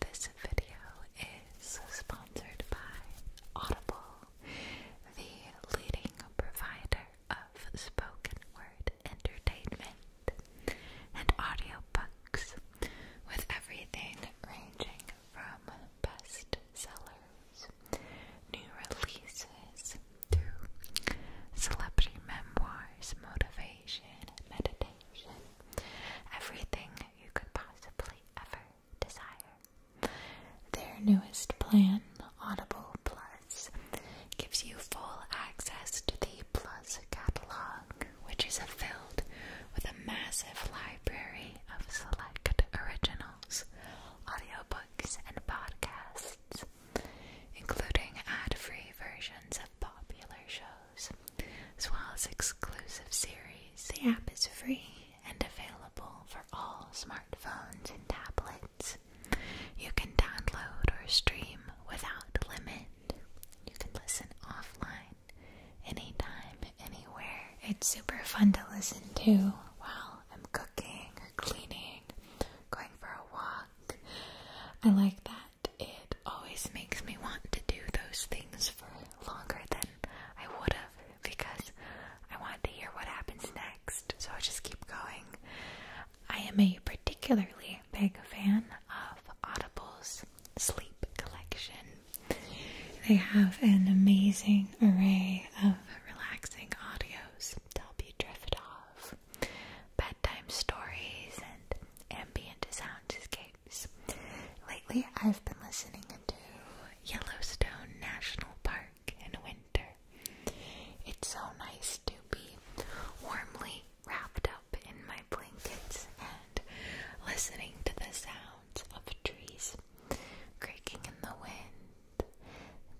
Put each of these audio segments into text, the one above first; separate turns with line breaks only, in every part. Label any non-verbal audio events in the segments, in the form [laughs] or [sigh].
This video is sponsored by Audible, the leading provider of spoken word entertainment and audiobooks, with everything ranging from best new releases, through celebrity memoirs, motivation, meditation everything you could possibly ever desire. Their newest plan, Audible Plus, gives you full access to the Plus catalog, which is filled with a massive library of select originals, audiobooks, and podcasts, including ad-free versions of popular shows, as well as exclusive series. The app is free and available for all smartphones and tablets. You can download or stream without limit. You can listen offline, anytime, anywhere. It's super fun to listen to while I'm cooking or cleaning, going for a walk. I like that it always makes me want to do those things for longer than I would have because I want to hear what happens next, so I just keep going. I am a particularly big fan of Audible's Sleep Collection. They have an amazing array of relaxing audios to help you drift off bedtime stories and ambient soundscapes. Lately, I've been listening to Yellowstone National Park in winter. It's so nice to be warmly wrapped up in my blankets and listening to the sounds of trees creaking in the wind,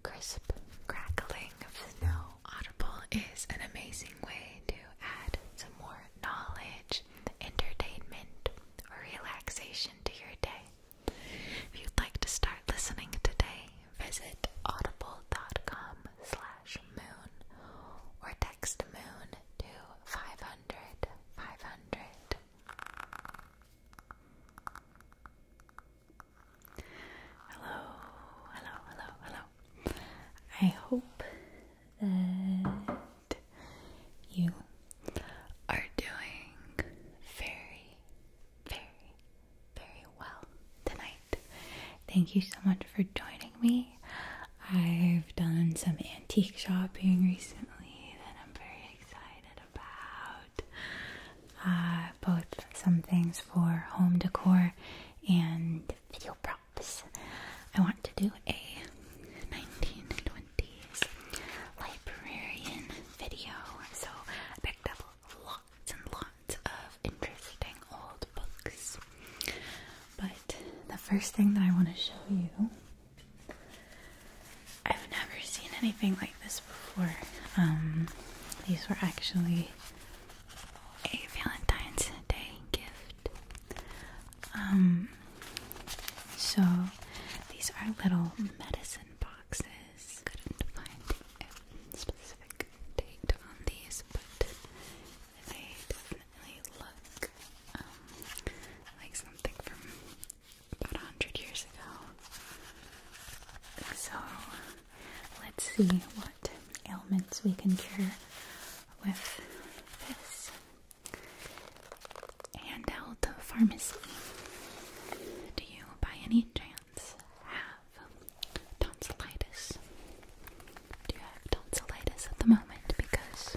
crisp crackling of snow Audible is an amazing way to add some more knowledge, entertainment, or relaxation to your day. If you'd like to start listening today, visit audible.com slash moon or text moon to 500 500. Hello, hello, hello, hello. I hope that you are doing very, very, very well tonight. Thank you so much for joining me. I've done some antique shopping recently that I'm very excited about. Uh, both some things for home decor and video props. I want to do a 1920s librarian video, so I picked up lots and lots of interesting old books. But the first thing that I want to show you, I've never seen anything like this before. Um, these were actually a Valentine's Day gift. Um, so these are little medicine boxes. Couldn't find specific date on these, but they definitely look um, like something from about a hundred years ago. So let's see what ailments we can cure with this And the pharmacy. Do you, by any chance, have tonsillitis? Do you have tonsillitis at the moment? Because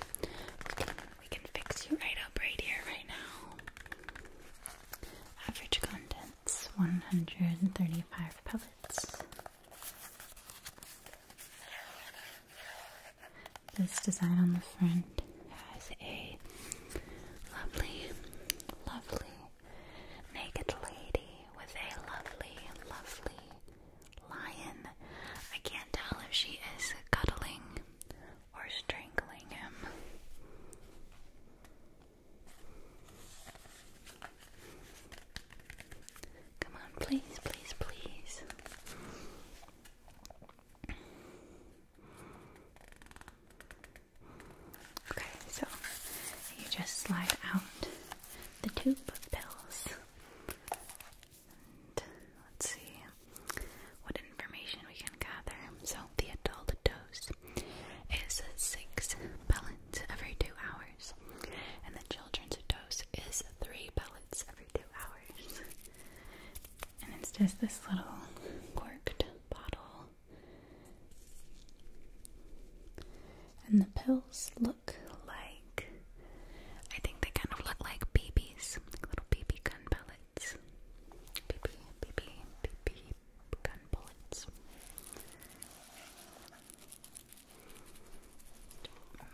we can fix you right up right here, right now. Average content. That's 135 pellets. This design on the front has a lovely, lovely naked lady with a lovely, lovely lion. I can't tell if she is cuddling or strangling him. Come on, please, please, please. Okay, so you just slide out the tube of pills. let's see what information we can gather. So the adult dose is six pellets every two hours, and the children's dose is three pellets every two hours. And it's just this little corked bottle. And the pills look like I think they kind of look like BBs, like little BB gun pellets. BB, BB, BB, gun bullets.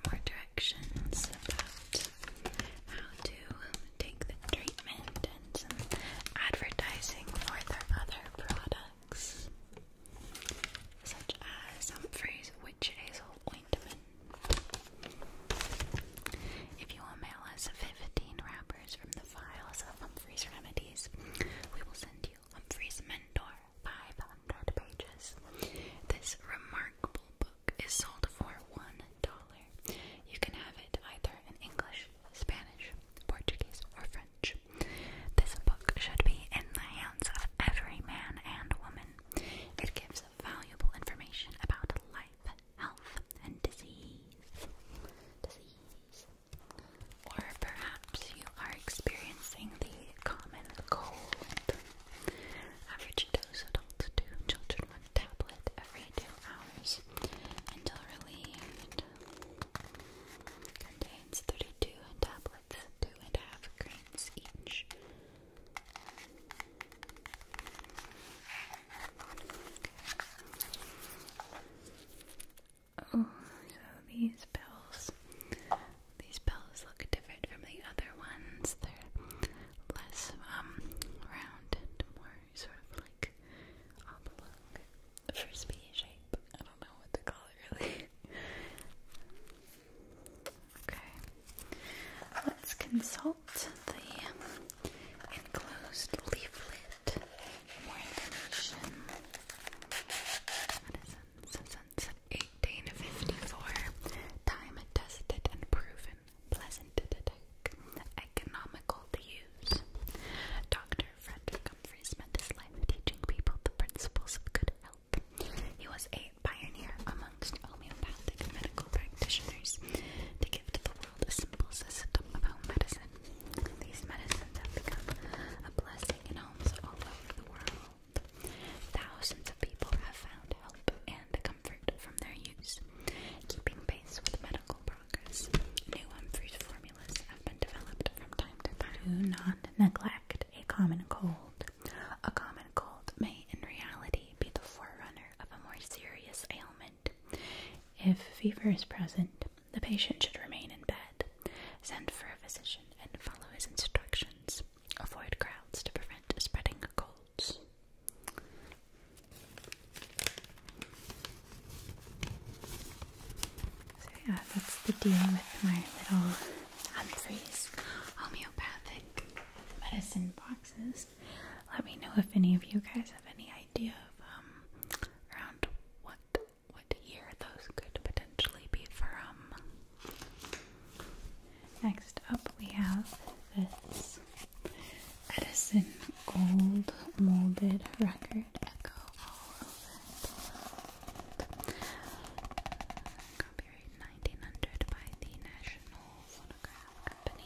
More directions about how to take the treatment and some advertising for their other products, such as Humphrey's Witch Hazel Ointment. If you will mail us 15 wrapper from the files of Humphrey's Remedies. We will send you Humphrey's Mentor, 500 pages. This remarkable book is sold for $1. You can have it either in English, Spanish, Portuguese, or French. This book should be in the hands of every man and woman. It gives valuable information about life, health, and disease. Disease. Or perhaps you are experiencing the common cold. Average dose adults do, children one tablet every two hours until relieved. Contains 32 tablets, two and a half grains each. Oh, so these bells, these bells look different from the other ones. They're less um round and more sort of like oblong, frisbee shape. I don't know what to call it really. okay, let's consult the enclosed leaflet more information. Since 1854, time tested and proven, pleasant to take, economical to use. Dr. Frederick Humphreys spent his life teaching people the principles of good health. He was a pioneer amongst homeopathic medical practitioners to give to the the simple system of home medicine. These medicines have become a blessing in homes all over the world. Thousands of people have found help and comfort from their use, keeping pace with medical progress. New and Humphreys formulas have been developed from time to time. Do not neglect a common cold. A common cold may, in reality, be the forerunner of a more serious ailment. If fever is present, the patient should remain in bed, send for a physician, and follow his instructions. Avoid crowds to prevent spreading colds. So, yeah, that's the deal with my little Humphreys homeopathic medicine boxes. Let me know if any of you guys have any idea of um, Around what what year those could potentially be from? Next up, we have this Edison gold molded record echo all over it. Copyright 1900 by the National Phonograph Company.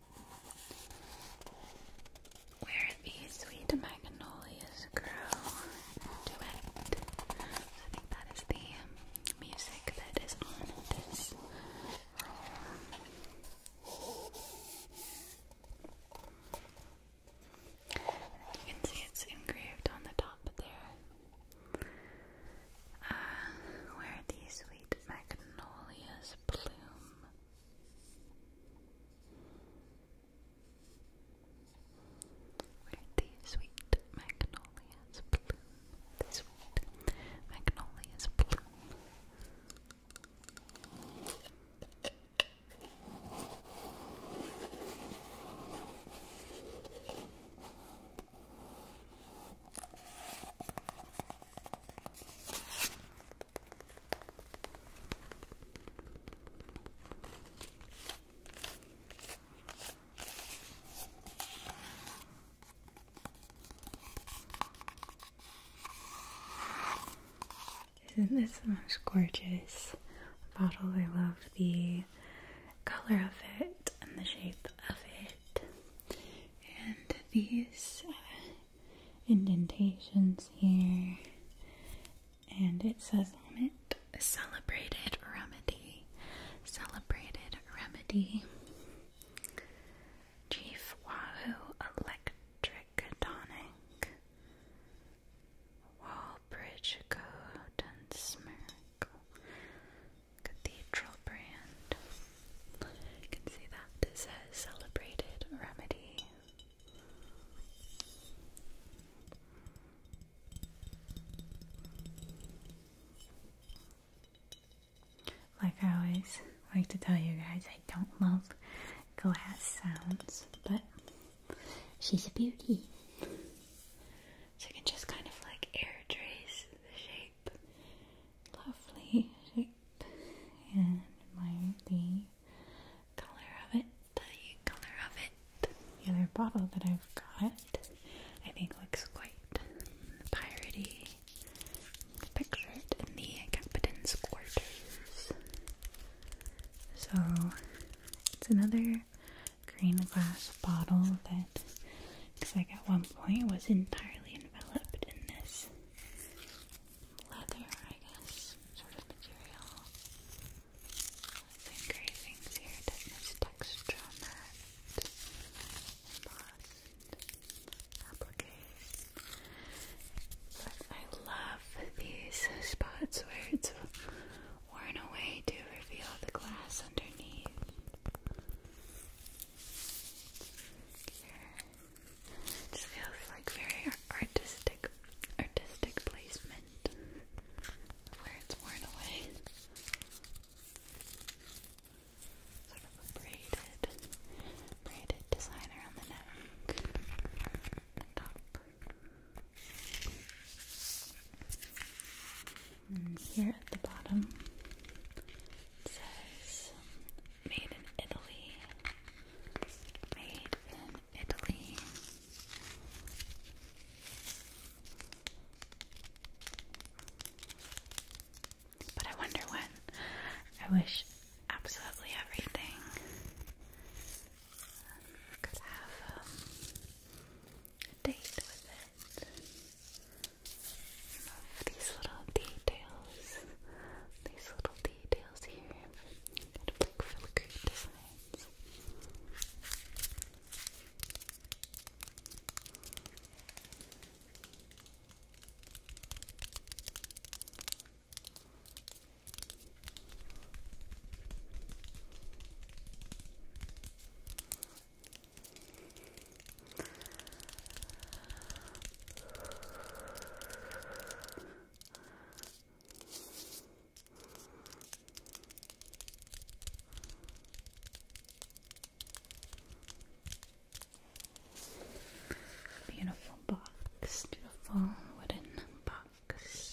Where these sweet magnolias grow to it. that is the music that is on this You can see it's engraved on the top there. Uh, where these sweet magnolias bloom where the sweet magnolias bloom, the sweet magnolias bloom. Isn't this the most gorgeous bottle? I love the color of it and the shape of it. And these indentations here. And it says on it, celebrated remedy. Celebrated remedy. Chief Wahoo Electric Tonic. Wallbridge Coat Smirk. Cathedral brand can see that it celebrated remedy. Like I always like to tell you guys, I don't love glass sounds, but she's a beauty. So I can just kind of like air trace the shape lovely shape and my the color of it, the color of it. The other bottle that I've got I think looks quite piratey. Picture in the Capitan's quarters. So it's another green glass bottle that it's like at one point was entirely enveloped in this leather, I guess, sort of material. There's engravings here, definitely texture on that. But I love these spots where it's worn away to reveal the glass underneath. This feels like very artistic, artistic placement where it's worn away. Sort of braided, braided design around the neck, the top. And here at the bottom, says made in Italy. Made in Italy. But I wonder when. I wish absolutely everything could have um, a date with it love these little details. These little details here. Kind of like filigree designs. Beautiful box, beautiful wooden box.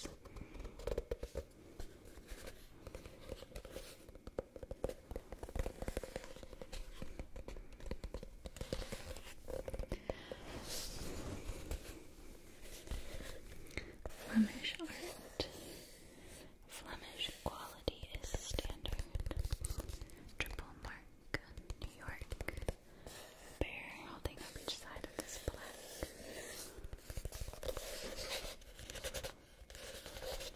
Flemish art. Flemish quality is standard. Triple mark, New York. Bear holding up each side of this black. These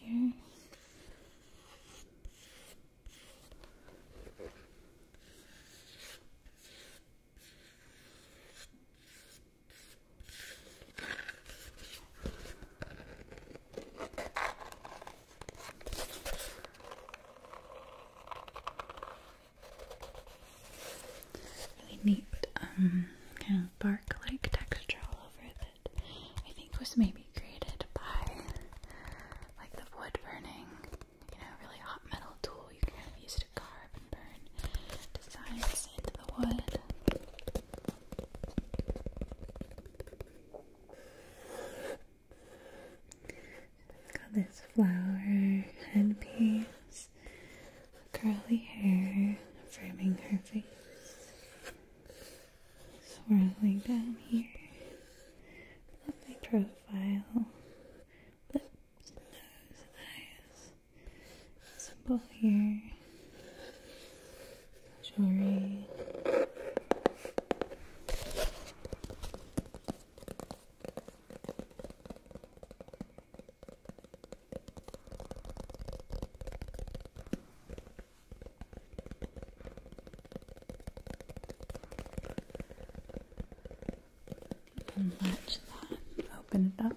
here. Really neat, um, kind of bark-like texture all over that I think was maybe created by like the wood burning, you know, really hot metal tool you can use to carve and burn designs into the wood. got this flower headpiece curly hair framing her face, swirling down here, lovely profile, lips, nose, eyes, simple here, jewelry. And match that. Open it up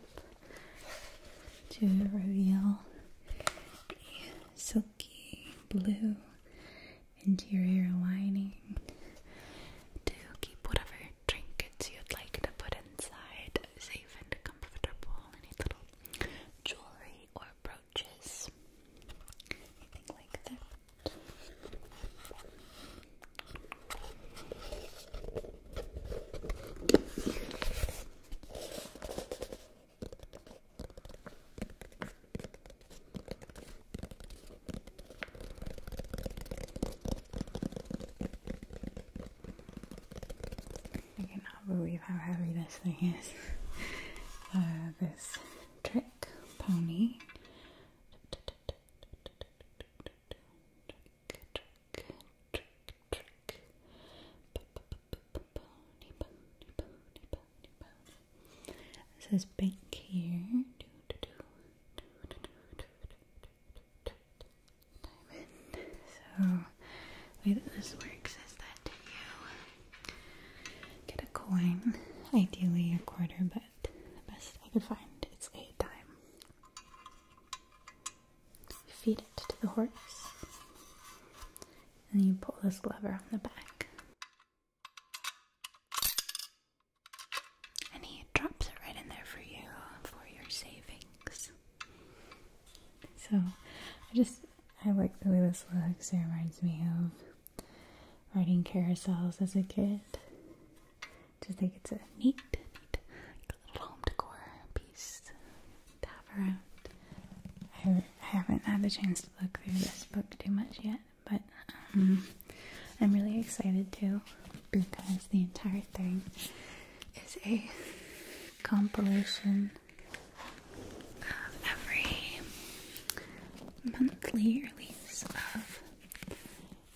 to reveal a silky blue interior lining to whatever trinkets you'd like to put inside, safe and comfortable, any little jewelry or brooches, anything like that. I cannot believe how heavy this thing is. Uh, this trick pony. This is big here. So wait. way this works is that you get a coin, ideally a quarter, but the best I could find it's a dime. feed it to the horse, and you pull this lever on the back. And he drops it right in there for you for your savings. So I just I like the way this looks. It reminds me of riding carousels as a kid. Do you think it's a neat, little home decor piece to have around. I haven't had the chance to look through this book too much yet, but um, I'm really excited to because the entire thing is a compilation of every monthly release of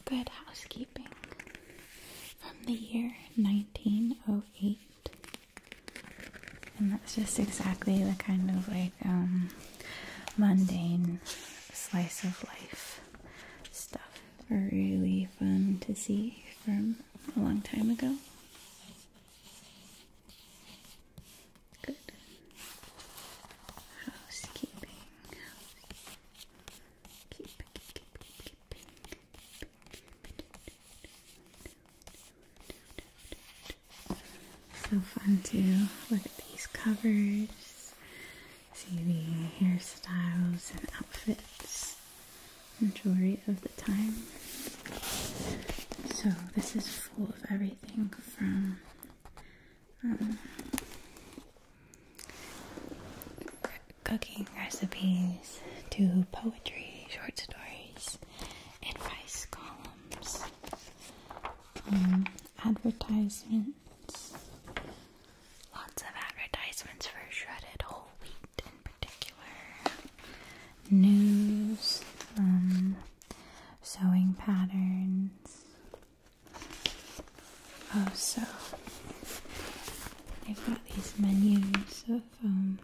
Good Housekeeping from the year 1908. And that's just exactly the kind of like um, mundane slice of life stuff are really fun to see from a long time ago. Good. Housekeeping. So fun to look at these covers see the hairstyles and outfits and jewelry of the time. So this is full of everything from um, cooking recipes to poetry, short stories, advice columns, um, advertisements, Lots of advertisements for shredded whole wheat in particular. News, um, sewing patterns. Oh, so they've got these menus of um,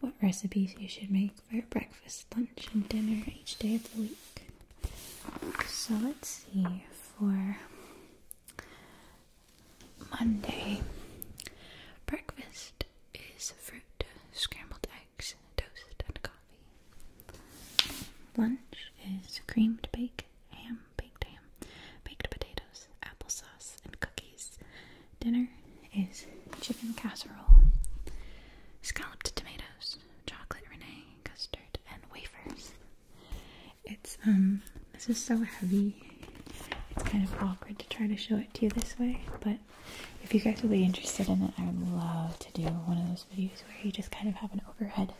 what recipes you should make for breakfast, lunch, and dinner each day of the week. So let's see for Monday. Breakfast is fruit, scrambled eggs, toast, and coffee. Lunch is creamed bacon, ham, baked ham, baked potatoes, applesauce, and cookies. Dinner is chicken casserole, scalloped tomatoes chocolate renee, custard, and wafers. It's um this is so heavy. It's kind of awkward to try to show it to you this way, but if you guys would be interested in it, I would love to do one of those videos where you just kind of have an overhead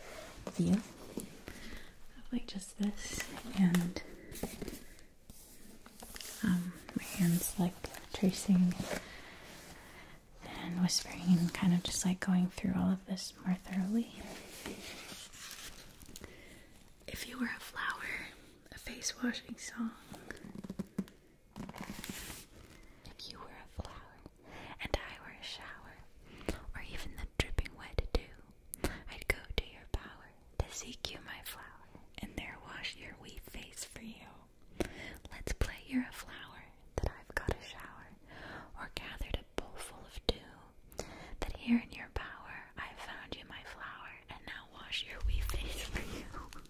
view of like just this and um my hands like tracing and whispering and kind of just like going through all of this more thoroughly. If you were a flower, a face washing song. If you were a flower and I were a shower, or even the dripping wet dew, I'd go to your power to seek you, my flower, and there wash your wee face for you. Let's play you're a flower that I've got a shower, or gathered a bowlful of dew, that here in your bower I found you my flower, and now wash your wee for you.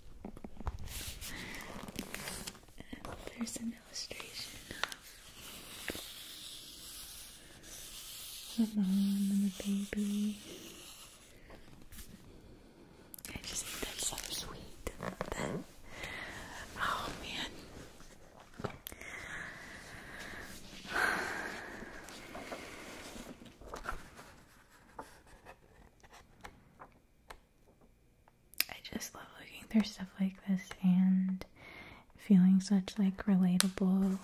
[laughs] there's an illustration of the mom and the baby. I just think that's so sweet Oh man. I just love looking through stuff like this and feeling such like relatable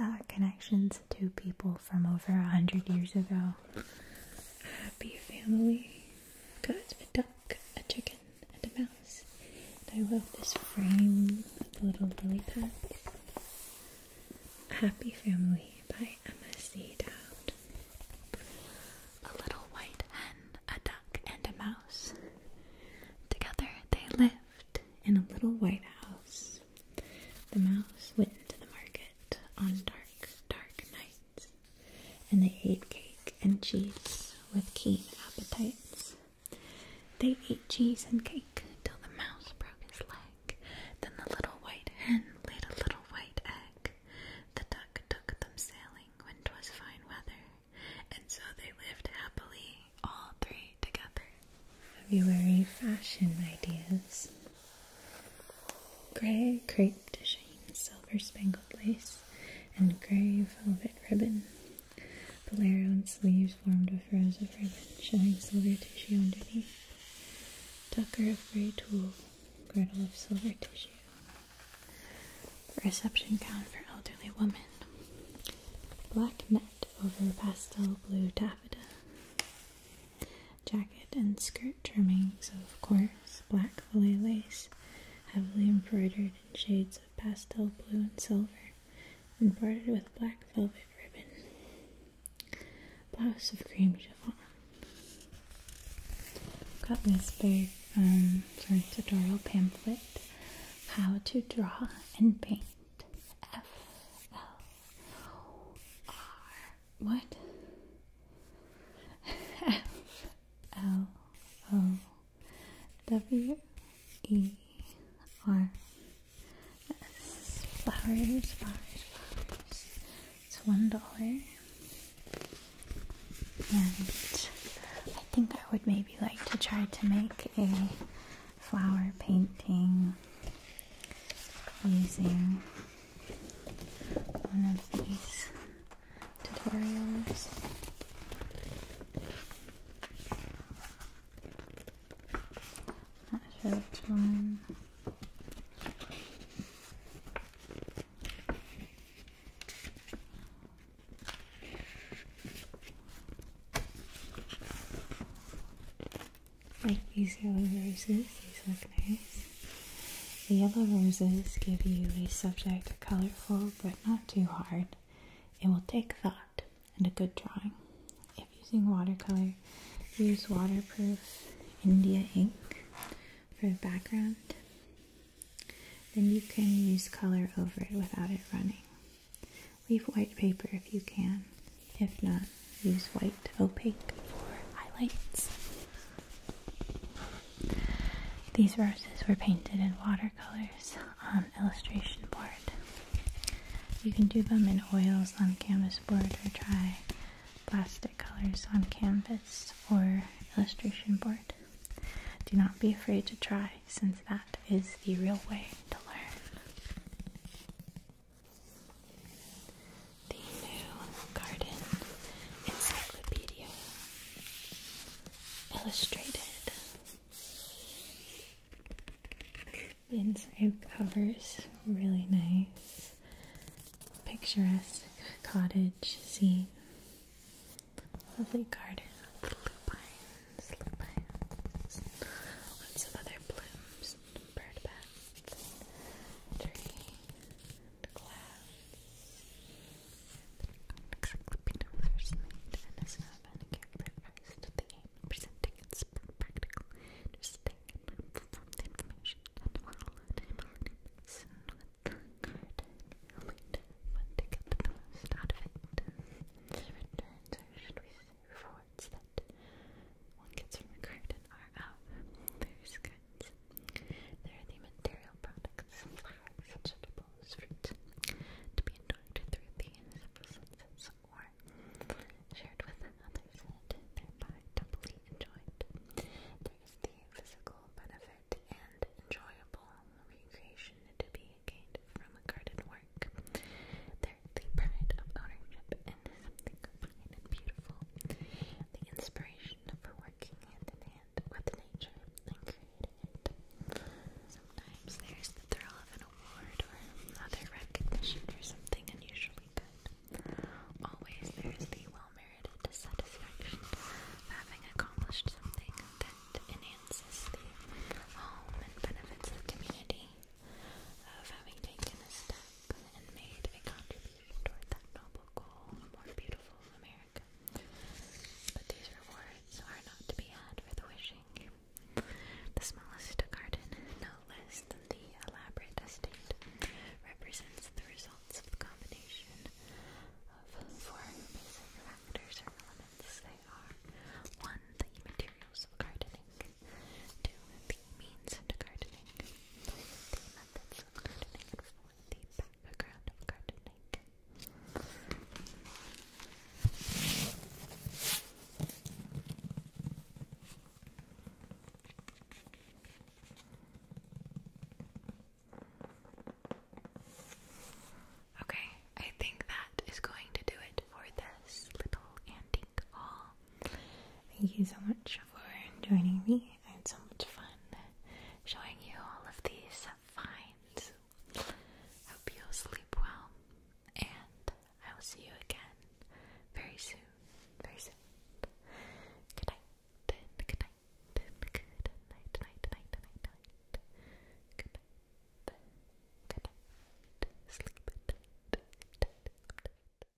uh, connections to people from over a hundred years ago. Happy family. Got a duck, a chicken and a mouse. I love this frame of the little lily pads. Happy Family by Emma C. Dowd. A little white hen, a duck, and a mouse. Together they lived in a little white house. The mouse went to the market on dark, dark nights and they ate cake and cheese with keen appetites. They ate cheese and cake till the mouse broke his leg. Then the little white hen laid a little white egg. The duck took them sailing when 'twas fine weather, and so they lived happily all three together. February fashion ideas grey crepe tissue, silver spangled lace, and grey velvet ribbon. Bolero and sleeves formed of rows of ribbon, showing silver tissue underneath. Tucker of grey tulle, girdle of silver tissue. Reception gown for elderly woman. Black net over pastel blue taffeta. Jacket and skirt skirt trimmings, of course, black fillet lace, heavily embroidered in shades of pastel blue and silver, embroidered with black velvet ribbon. Blouse of cream chiffon. got this big, um, tutorial pamphlet, How to Draw and Paint. F L O R what? F L O W E R S. Flowers, flowers, flowers. It's one dollar. And I think I would maybe like to try to make a flower painting using one of these tutorials. Not sure which one. Like these yellow roses, these look nice. The yellow roses give you a subject colorful but not too hard. It will take thought and a good drawing. If using watercolor, use waterproof India ink for the background. Then you can use color over it without it running. Leave white paper if you can. If not, use white opaque for highlights. These roses were painted in watercolors on illustration board. You can do them in oils on canvas board or try plastic colors on canvas or illustration board. Do not be afraid to try, since that is the real way to learn the New Garden Encyclopedia Illustrated. The inside covers really nice, picturesque cottage scene, lovely garden with lupines, lupines, lots of other blooms, bird baths, tree, glass. Xylopina first made and is now manicured reversed. The aim of presenting its practical, interesting, and helpful form information that will enable humans with card and later when to get the most out of it. The returns, or should we say rewards, that one gets from a card and are out. There's goods. There are the material products, flowers, vegetables, fruit, to be enjoyed through the senses or shared with others and thereby doubly enjoyed. There is the physical benefit and enjoyable recreation to be gained from a garden work. There is the pride of ownership and something fine and beautiful. The inspiration passion for working hand in hand with nature and creating Sometimes there's the thrill of an award or other recognition for something unusually good. Always there is the well merited satisfaction of having accomplished something that enhances the home and benefits the community, of having taken a step and made a contribution toward that noble goal of more beautiful America. But these rewards are not to be had for the wishing. The smallest garden, no less than the elaborate estate, represents the results of the combination of four basic factors or elements. They are 1. The materials of gardening, 2. The means into gardening, the methods of gardening, for the background of gardening. Okay, I think that is going to do it for this little antique haul. Thank you so much for joining me. I had so much fun showing you all of these finds. Hope you'll sleep well, and I will see you again very soon. Very soon. Good night. Good night. Good night. Good night. Night. Night. Night. night. Good night. Good night. Sleep. Good